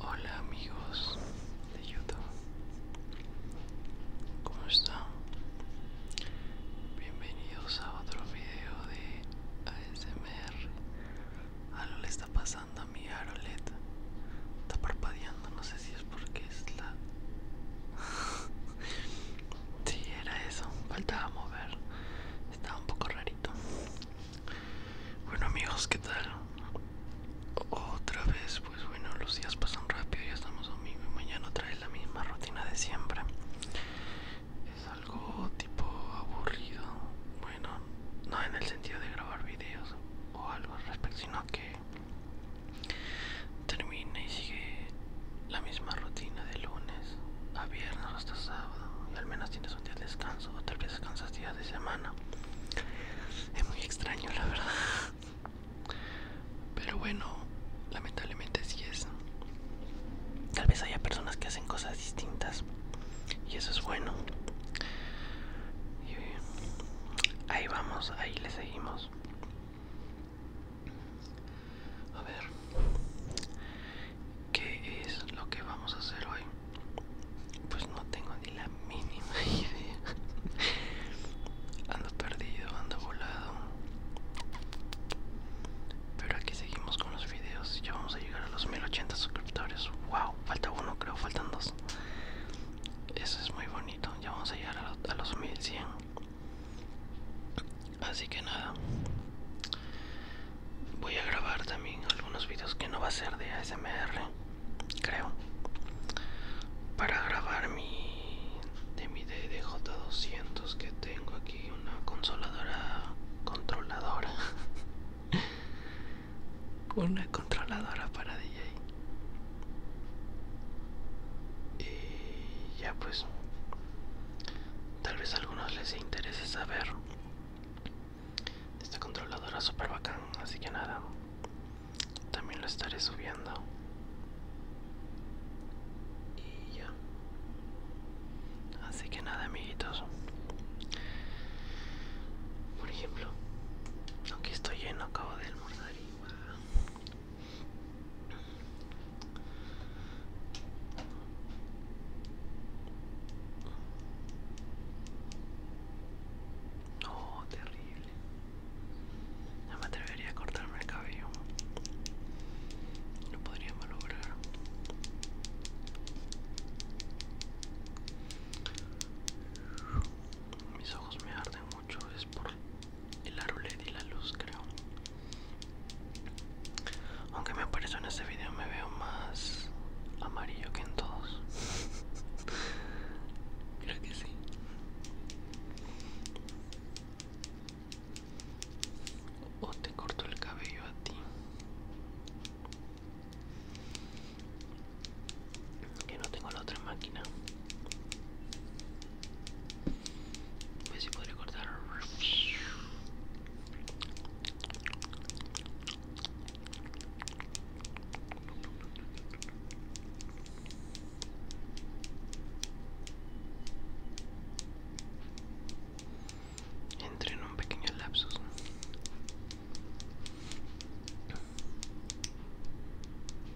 Hola amigos de YouTube, ¿cómo están? Bienvenidos a otro video de ASMR. Algo le está pasando a mi Arolet, está parpadeando, no sé si es porque es la... Sí, era eso. Faltaba mover. Estaba un poco rarito. Bueno amigos, ¿qué tal? Otra vez, pues bueno, los días pasan rápido, ya estamos domingo y mañana otra vez la misma rutina de siempre. Es algo tipo aburrido. Bueno, no en el sentido de grabar videos o algo al respecto, sino que termina y sigue la misma rutina de lunes a viernes hasta sábado y al menos tienes un día de descanso o tal vez descansas días de semana es muy extraño la verdad pero bueno lamentablemente sí es tal vez haya personas que hacen cosas distintas y eso es bueno ahí vamos ahí le seguimos a ver, ¿qué es lo que vamos a hacer hoy? Pues no tengo ni la mínima idea. Ando perdido, ando volado. Pero aquí seguimos con los videos. Ya vamos a llegar a los 1080 suscriptores. Wow, falta uno, creo, faltan dos. Eso es muy bonito. Ya vamos a llegar a, a los 1100 así que nada voy a grabar también algunos vídeos que no va a ser de ASMR creo para grabar mi de mi DDJ200 que tengo aquí una consoladora controladora una controladora para DJ y ya pues Tal vez a algunos les interese saber esta controladora super bacán, así que nada, también lo estaré subiendo. Y ya. Así que nada, amiguitos. Por ejemplo, aquí estoy lleno, acabo de almorzar y Oh, terrible. No me atrevería a cortarme el cabello. No podría lograr. Mis ojos me arden es por el arulet y la luz creo aunque me parece en este vídeo me veo más amarillo que en todos creo que sí o te corto el cabello a ti que no tengo la otra máquina a ver si puedo cortar. Entré en un pequeño lapsus.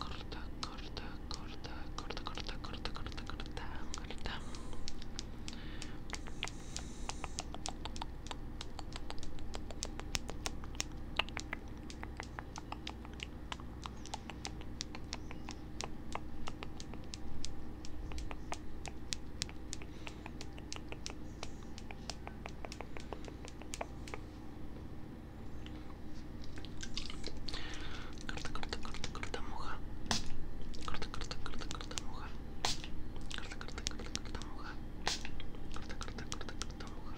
corta, corta, corta, corta, corta, corta, corta, corta, corta. Corta, Corta, corta, corta, corta, moja. Corta, corta, corta, corta, moja. Corta, corta, corta, corta, moja. Corta, corta, corta, corta, moja.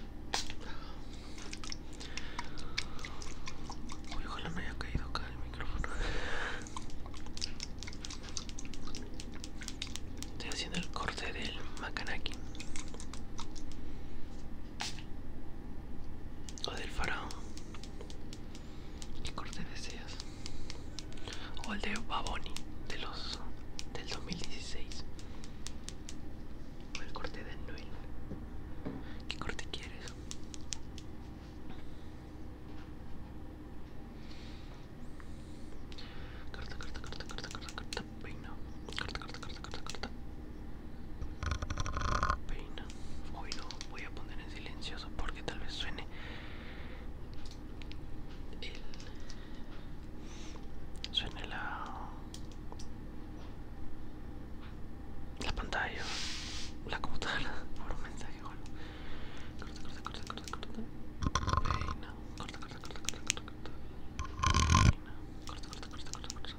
Uy, ojalá no haya caído acá el micrófono. Estoy haciendo el corte del makanaki o del faraón qué corte deseas o el de Baboni del 2016 o el corte de Noel qué corte quieres Carta, carta, carta carta carta peina, corta, corta, corta, corta, corta. Peina. Hoy no voy a poner en silencioso porque tal vez suene el suene la la pantalla, la computadora por un mensaje. Bueno. Corta, corta, corta, corta, corta. Peina. Corta, corta, corta, corta, corta, corta. Peina. Corta, corta, corta, corta, corta.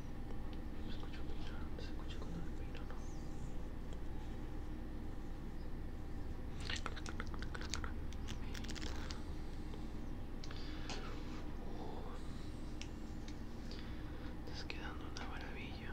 ¿Me escucho ¿Se escucha cuando me mira no? Estás quedando una maravilla.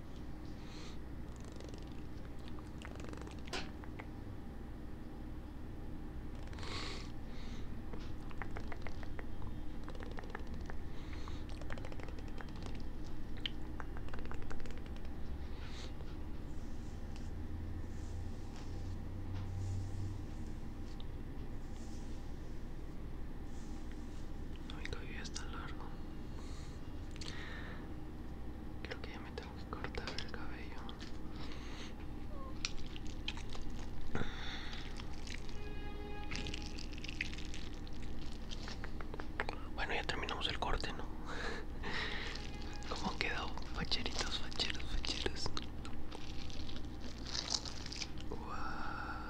No, mi cabello está largo. Creo que ya me tengo que cortar el cabello. Bueno, ya terminamos el corte, ¿no? ¿Cómo quedó? Facheritos, facheros, facheros. Wow.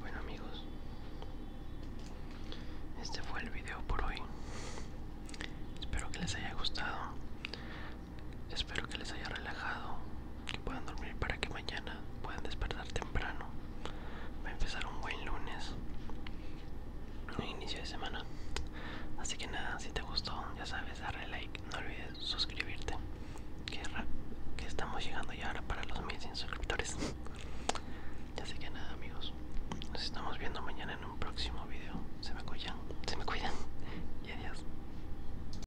Bueno amigos, este fue el video por hoy. Espero que les haya gustado. Espero que les haya relajado que puedan dormir para que mañana puedan despertar temprano. Va a empezar un buen lunes, un inicio de semana. Así que nada, si te gustó, ya sabes, darle like, no olvides suscribirte. Que, estamos llegando ya ahora para los 1100 suscriptores. Así que nada, amigos, nos estamos viendo mañana en un próximo video. Se me cuidan, se me cuidan y adiós.